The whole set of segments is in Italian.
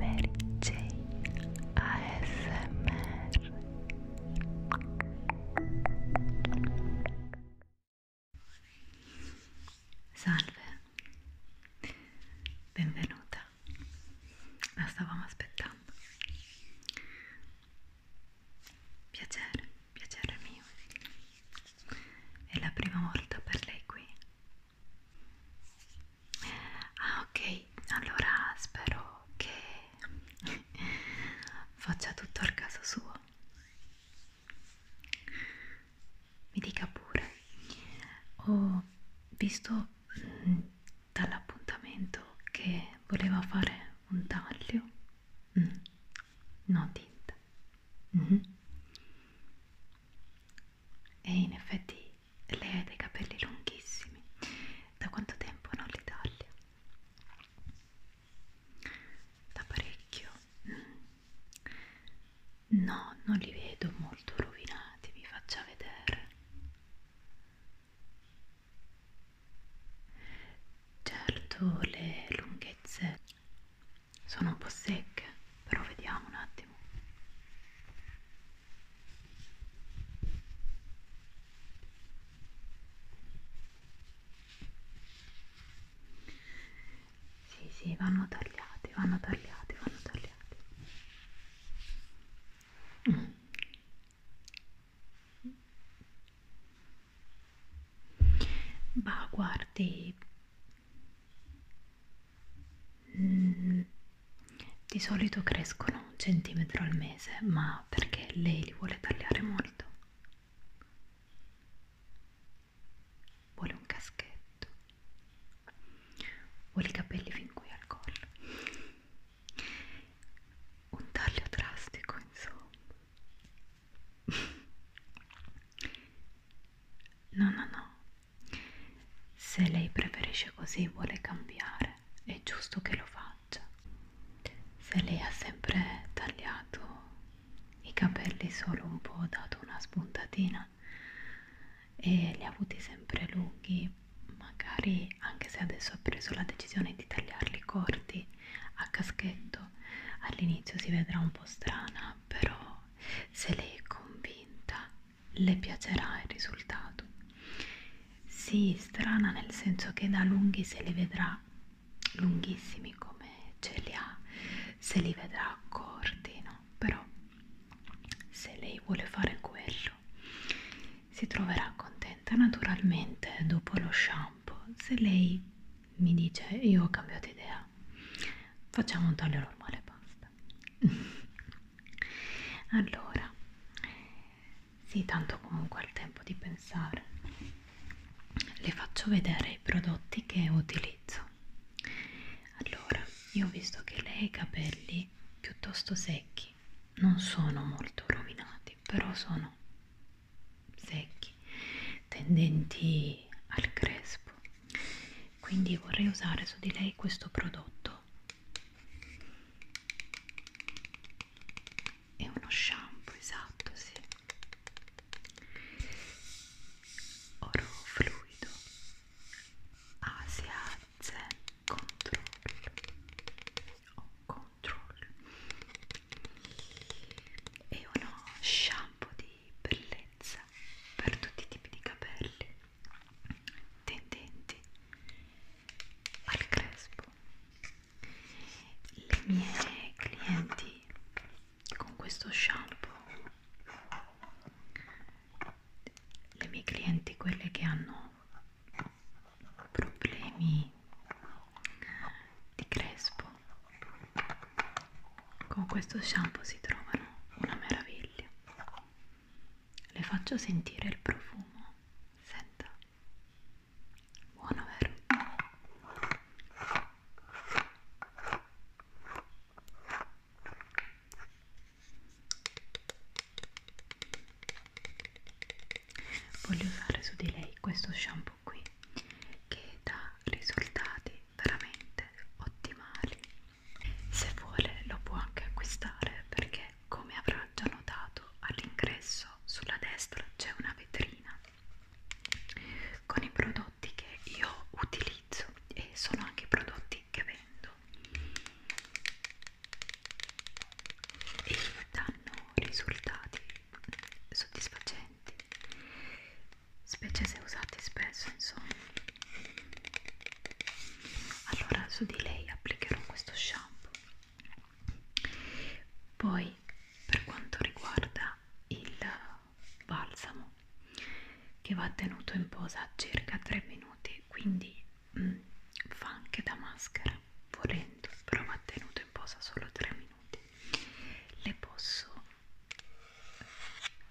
Mary J ASMR Salve, benvenuta, la stavamo aspettando. Piacere, piacere mio. È la prima volta per lei qui, ah ok allora spero che faccia tutto al caso suo mi dica pure ho visto mh, mm, dall'appuntamento che voleva fare un taglio mm. no tinta mm -hmm e in effetti lei ha dei capelli lunghissimi. Da quanto tempo non li taglia? Da parecchio. No, non li vedo molto rovinati, vi faccia vedere. Certo, le lunghezze sono un po' secche però vediamo un attimo sì sì vanno tagliati vanno tagliati vanno tagliati mm. Bah, guardi, Mm, di solito crescono un centimetro al mese, ma perché lei li vuole tagliare molto. Vuole un caschetto. Vuole i capelli fin qui al collo. Un taglio drastico, insomma. No, no, no, se lei preferisce così e vuole cambiare, è giusto che lo faccia. Se lei ha sempre tagliato i capelli solo un po', dato una spuntatina e li ha avuti sempre lunghi, magari anche se adesso ha preso la decisione di tagliarli corti a caschetto, all'inizio si vedrà un po' strana, però se lei è convinta le piacerà il risultato. Sì, strana nel senso che da lunghi se li vedrà lunghissimi come ce li ha, se li vedrà corti, no? Però se lei vuole fare quello si troverà contenta naturalmente dopo lo shampoo. Se lei mi dice io ho cambiato idea, facciamo un taglio normale basta. allora sì tanto comunque al tempo di pensare le faccio vedere i prodotti che utilizzo allora io ho visto che lei ha i capelli piuttosto secchi non sono molto rovinati però sono secchi tendenti al crespo quindi vorrei usare su di lei questo prodotto è uno shampoo esatto sì oro fluido asia zen control oh, control è uno shampoo di bellezza per tutti i tipi di capelli tendenti al crespo. Le mie clienti con questo shampoo, le mie clienti quelle che hanno problemi di crespo, con questo shampoo si trovano una meraviglia capelli. Le faccio sentire il profumo. Senta. Buono, vero? Voglio usare su di lei questo shampoo qui che dà risultati veramente ottimali se vuole lo può anche acquistare perché, come avrà già notato, all'ingresso sulla destra c'è una vetrina con i prodotti che io utilizzo e sono anche i prodotti che vendo e danno risultati soddisfacenti specie se usati spesso insomma allora su di lei applicherò questo shampoo poi per quanto riguarda il balsamo che va tenuto in posa circa 3 minuti quindi mm, fa anche da maschera volendo però va tenuto in posa solo 3 minuti le posso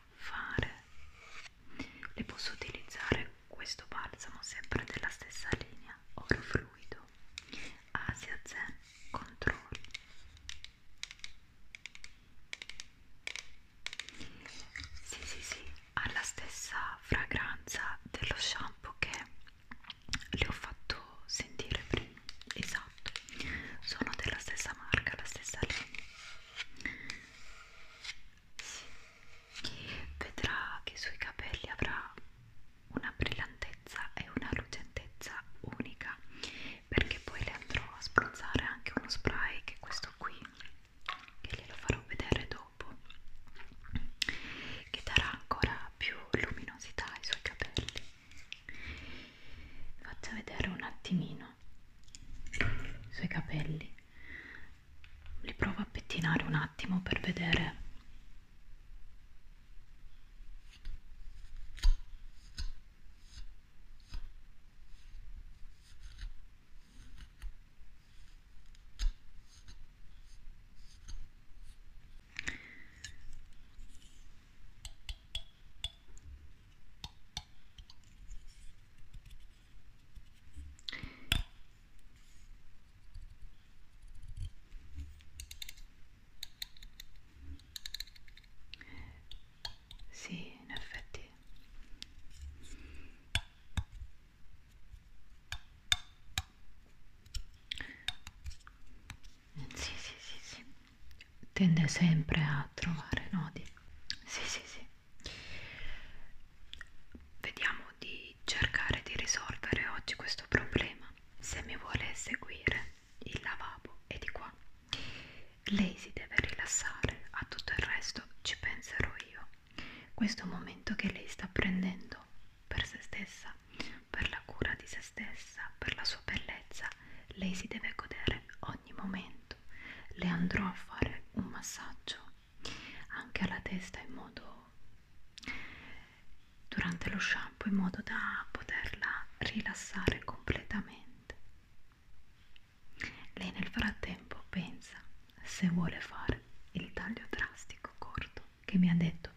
fare le posso utilizzare questo balsamo sempre della stessa linea oro fluido asia zen control sì sì sì ha la stessa fragranza dello shampoo che le ho fatto sentire prima esatto sono della stessa marca la stessa linea sì, vedrà che sui capelli avrà una brillantezza e una lucentezza unica perché poi le andrò a spruzzare anche uno spray che è questo qui che glielo farò vedere dopo che darà ancora più luminosità ai suoi capelli vi faccio vedere un attimino i suoi capelli li provo a pettinare un attimo per vedere sì, in effetti. Sì, sì, sì, sì tende sempre a trovare nodi sì sì sì vediamo di cercare di risolvere oggi questo problema se mi vuole seguire il lavabo è di qua lei si deve rilassare a tutto il resto ci penserò io questo momento che lei sta prendendo per se stessa per la cura di se stessa per la sua bellezza lei si deve godere ogni momento detto le andrò a fare un massaggio anche alla testa in modo durante lo shampoo in modo da poterla rilassare completamente lei nel frattempo pensa se vuole fare il taglio drastico corto che mi ha detto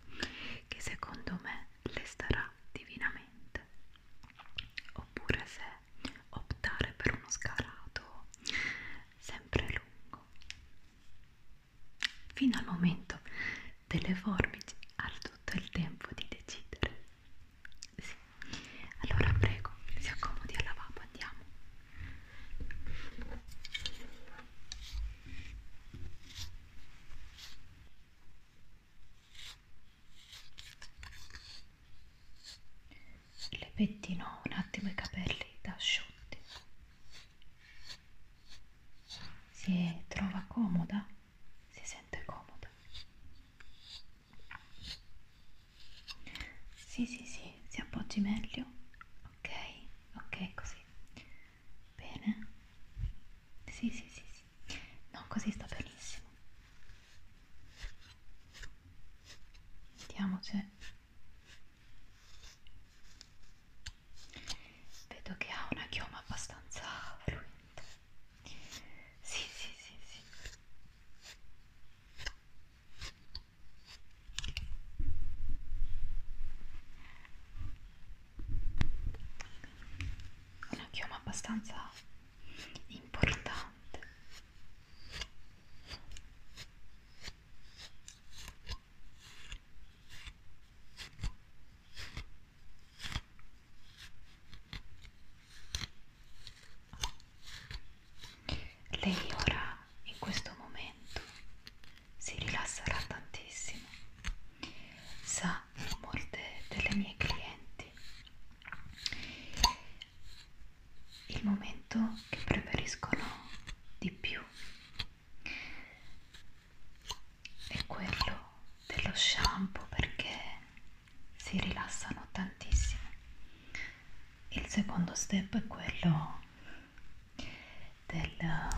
che secondo me le starà divinamente oppure se optare per uno scalato sempre lungo fino al momento delle forbici al tutto il tempo di decidere sì. allora prego si accomodi al lavabo andiamo le pettino un attimo i capelli da asciutti si trova comoda si sente comoda sì sì sì si appoggi meglio ok ok così bene sì sì sì, sì. No, così sta benissimo. Vediamo se vedo che ha una chioma abbastanza fluente. Sì, sì, sì, sì. Una chioma abbastanza importante lei ora in questo momento si rilasserà tantissimo sa molte delle mie clienti il momento che preferiscono di più è quello dello shampoo perché si rilassano tantissimo il secondo step è quello del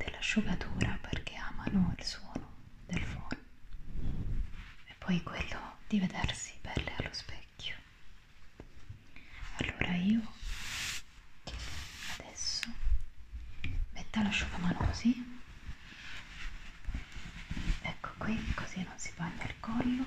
dell'asciugatura perché amano il suono del phon e poi quello di vedersi belle allo specchio allora io adesso metta l'asciugamano così ecco qui così non si bagna il collo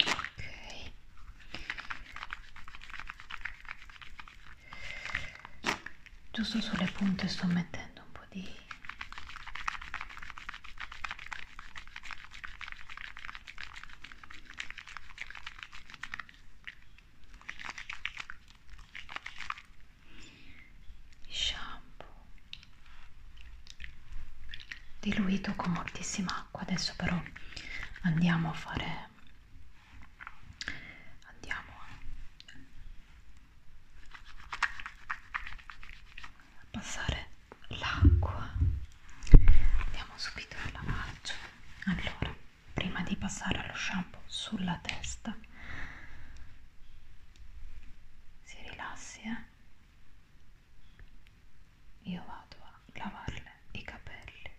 Ok. Giusto sulle punte sto mettendo un po' di shampoo diluito con moltissima acqua adesso però andiamo a fare andiamo a passare l'acqua andiamo subito al lavaggio allora prima di passare allo shampoo sulla testa si rilassi eh? Io vado a lavarle i capelli,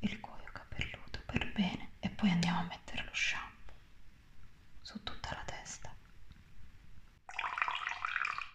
il cuoio capelluto per bene e poi andiamo a mettere lo shampoo su tutta la testa.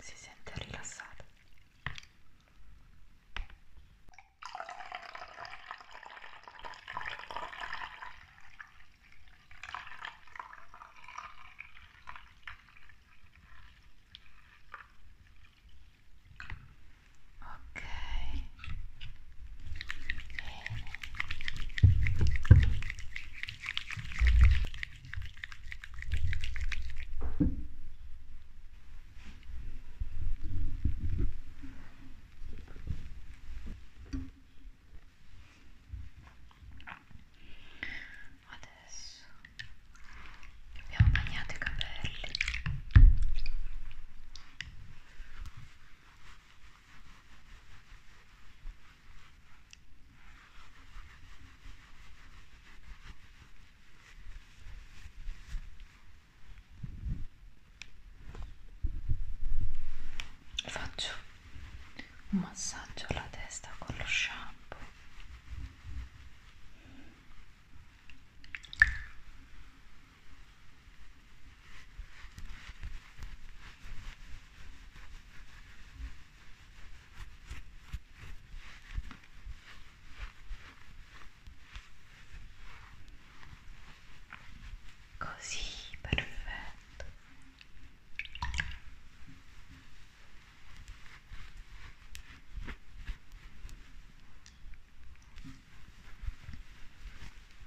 si sente rilassato ok Adesso abbiamo bagnato i capelli. Faccio un massaggio alla testa con lo shampoo. Così, perfetto.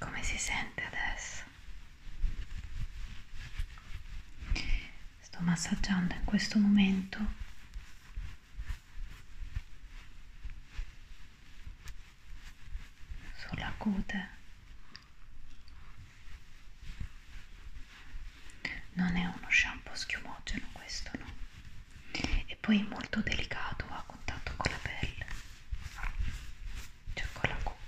Come si sente adesso? Sto massaggiando in questo momento sulla cute non è uno shampoo schiumogeno questo no e poi è molto delicato a contatto con la pelle cioè con la cute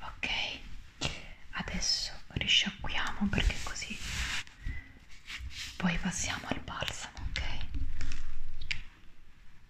Ok, adesso risciacquiamo perché così poi passiamo al balsamo, ok?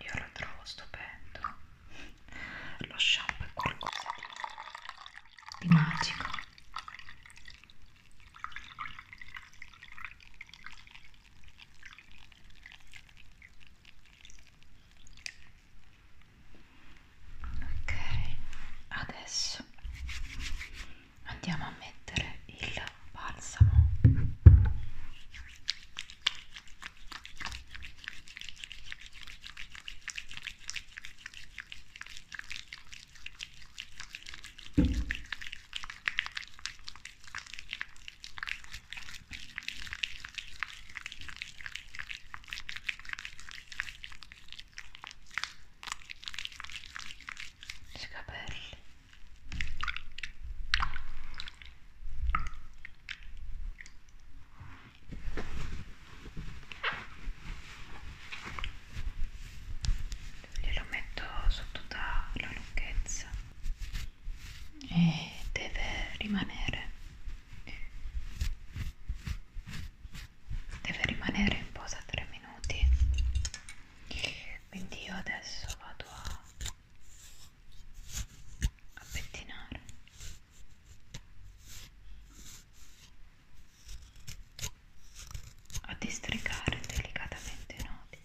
io lo trovo stupendo lo shampoo è qualcosa di magico ok adesso andiamo a mettere il balsamo i capelli glielo metto su tutta la lunghezza e deve rimanere deve rimanere in posa 3 minuti quindi io adesso vado a, a pettinare a districare delicatamente i nodi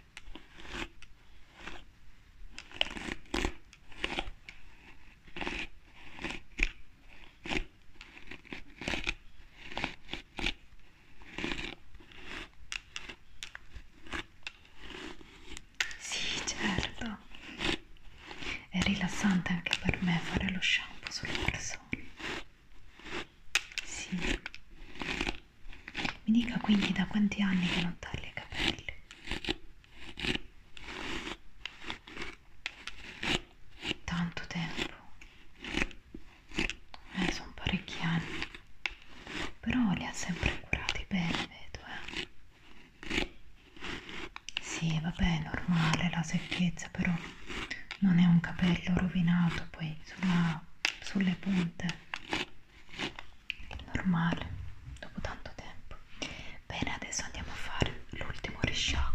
Sì, certo. È rilassante anche per me fare lo shampoo sulle persone. Sì. Mi dica quindi da quanti anni che non taglia i capelli? Tanto tempo. Eh, sono parecchi anni. Però li ha sempre curati bene, vedo, eh. Sì, vabbè, è normale la secchezza, però non è un capello rovinato poi sulla, sulle punte normale dopo tanto tempo bene adesso andiamo a fare l'ultimo risciacquo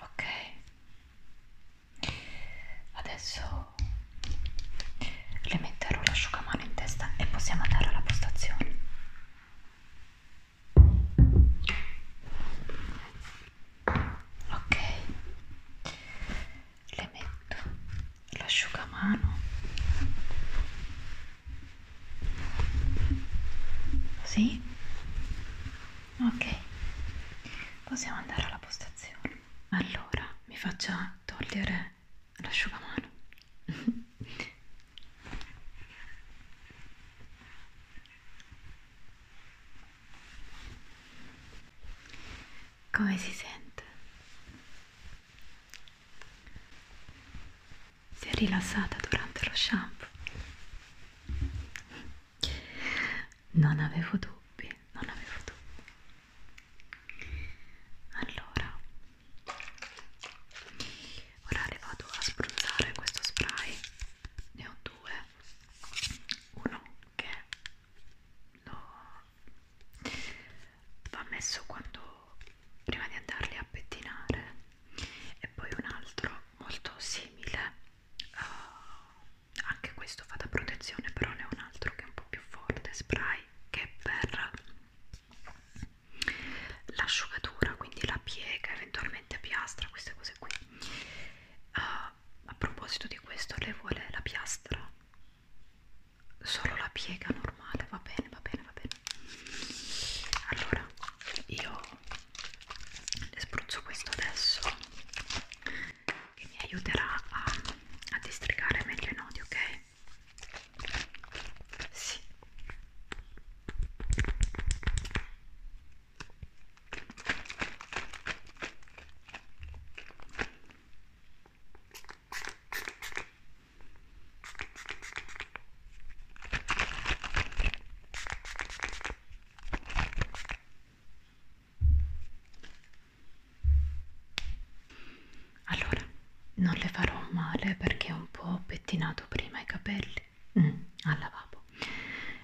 Ok, adesso le metterò l'asciugamano in testa e possiamo andare alla postazione ok le metto l'asciugamano così ok possiamo andare alla postazione allora mi faccia togliere l'asciugamano Come si sente? Si è rilassata durante lo shampoo? Non avevo dubbi, non avevo dubbi. Allora, ora le vado a spruzzare questo spray. Ne ho due uno che lo va messo quando prima di andarli a pettinare e poi un altro molto simile uh, anche questo fa da protezione però ne è un altro che è un po' più forte spray che è per l'asciugatura quindi la piega eventualmente piastra queste cose qui uh, a proposito di questo, lei vuole la piastra? Solo la piega normale, va bene, va bene, va bene. Allora, io le spruzzo questo adesso che mi aiuterà a, a districare meglio i nodi, ok? Sì. Allora, non le farò male perché ho un po' pettinato prima i capelli mm, al lavabo.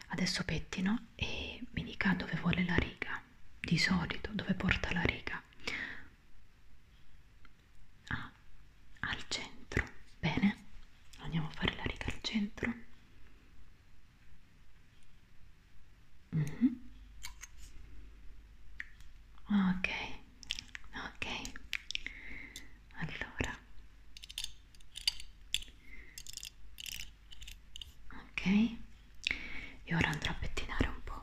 Adesso pettino e mi dica dove vuole la riga di solito dove porta la riga ah, al centro bene andiamo a fare la riga al centro mm -hmm. Ok, ok, allora ok e ora andrò a pettinare un po'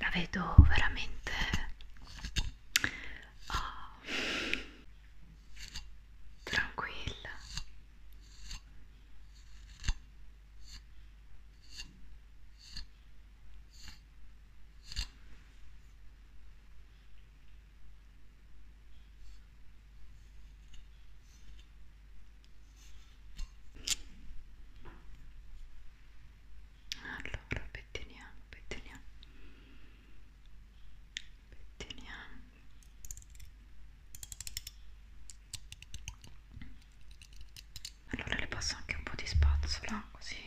La vedo veramente oh, tranquilla allora pettiniamo pettiniamo pettiniamo allora le passo anche un po' di spazzola così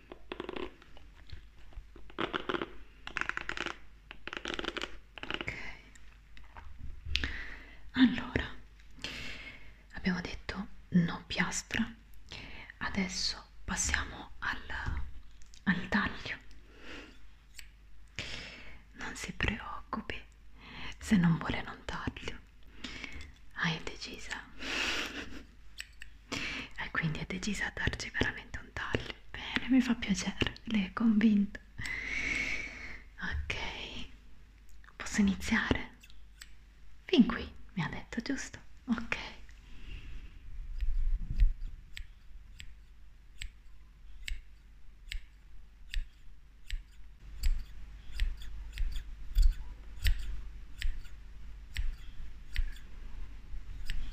ok allora abbiamo detto no piastra adesso passiamo al, al taglio non si preoccupi se non vuole non taglio hai decisa e quindi è decisa a darci veramente un taglio bene mi fa piacere lei è convinta ok posso iniziare fin qui mi ha detto giusto ok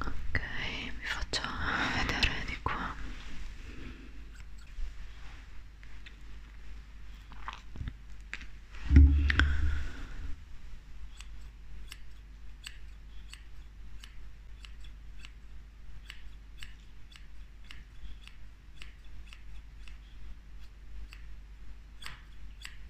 ok vi faccio vedere di qua ok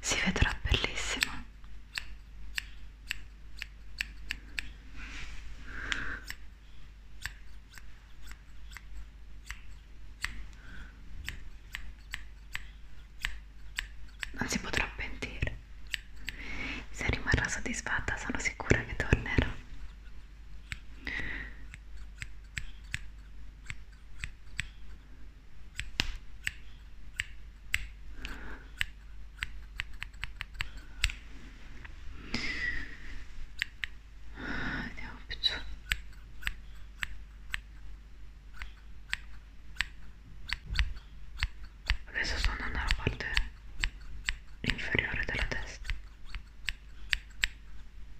si vedrà bellissimo non si potrà pentire se rimarrà soddisfatta sono sicura che tornerà Vediamo più giù. Adesso sto andando alla parte inferiore della testa.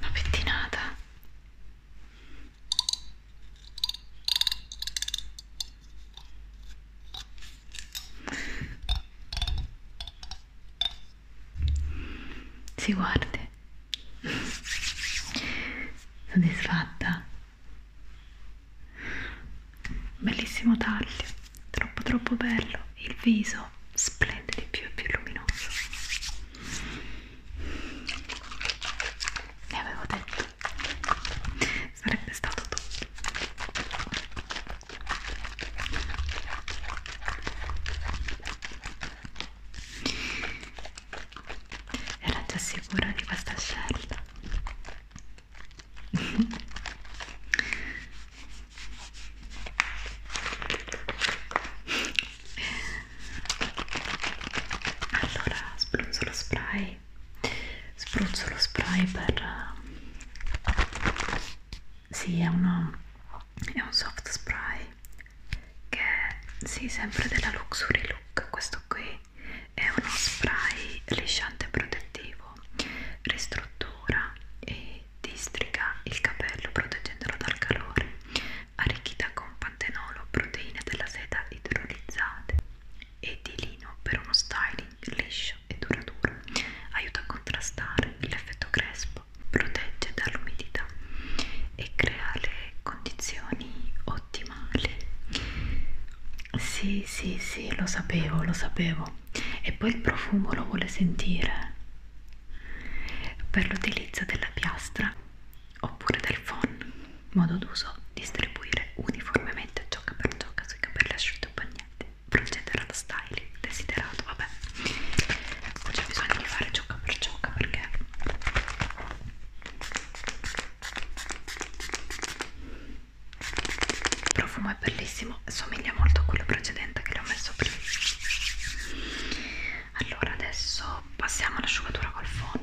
una pettinata si guardi soddisfatta bellissimo taglio troppo troppo bello il viso splende di più e più luminoso ne avevo detto sarebbe stato tutto era già sicura di questa scelta allora spruzzo lo spray spruzzo lo spray per eh, sì è uno è un soft spray che è sì, sempre della Luxury Look questo qui è uno spray lisciante protettivo nuovo ristruttura e distriga il capello proteggendolo dal calore arricchita con pantenolo, proteine della seta idrolizzate e di lino per uno styling liscio e duraturo aiuta a contrastare l'effetto crespo protegge dall'umidità e crea le condizioni ottimali sì sì sì lo sapevo lo sapevo e poi il profumo lo vuole sentire per l'utilizzo della piastra oppure del phon modo d'uso distribuire uniformemente ciocca per ciocca sui capelli asciuttobagnati procedere allo styling desiderato vabbè non c'è bisogno di fare ciocca per ciocca perché il profumo è bellissimo somiglia molto a quello precedente che le ho messo prima allora adesso passiamo all'asciugatura col phon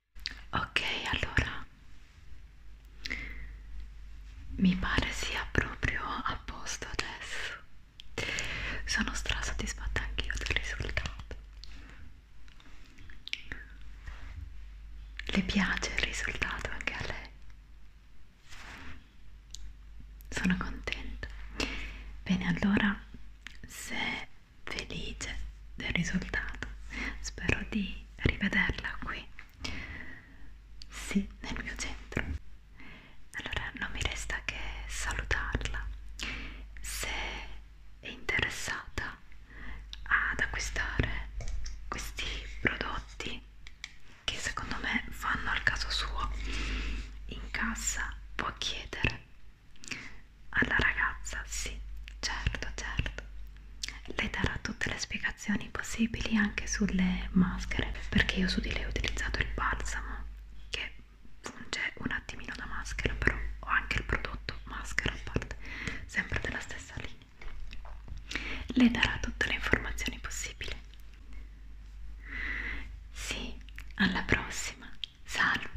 ok allora mi pare sia proprio a posto adesso sono stra soddisfatta anch'io del risultato le piace il risultato anche a lei sono contenta bene allora se felice del risultato spero di rivederla qui sì nel mio centro allora non mi resta che salutarla se è interessata ad acquistare questi prodotti che secondo me fanno al caso suo in cassa può chiedere alla ragazza sì certo certo lei darà tutte le spiegazioni possibili anche sulle maschere perché io su di lei ho utilizzato il balsamo che funge un attimino da maschera però ho anche il prodotto maschera a parte sempre della stessa linea le darà tutte le informazioni possibili sì alla prossima salve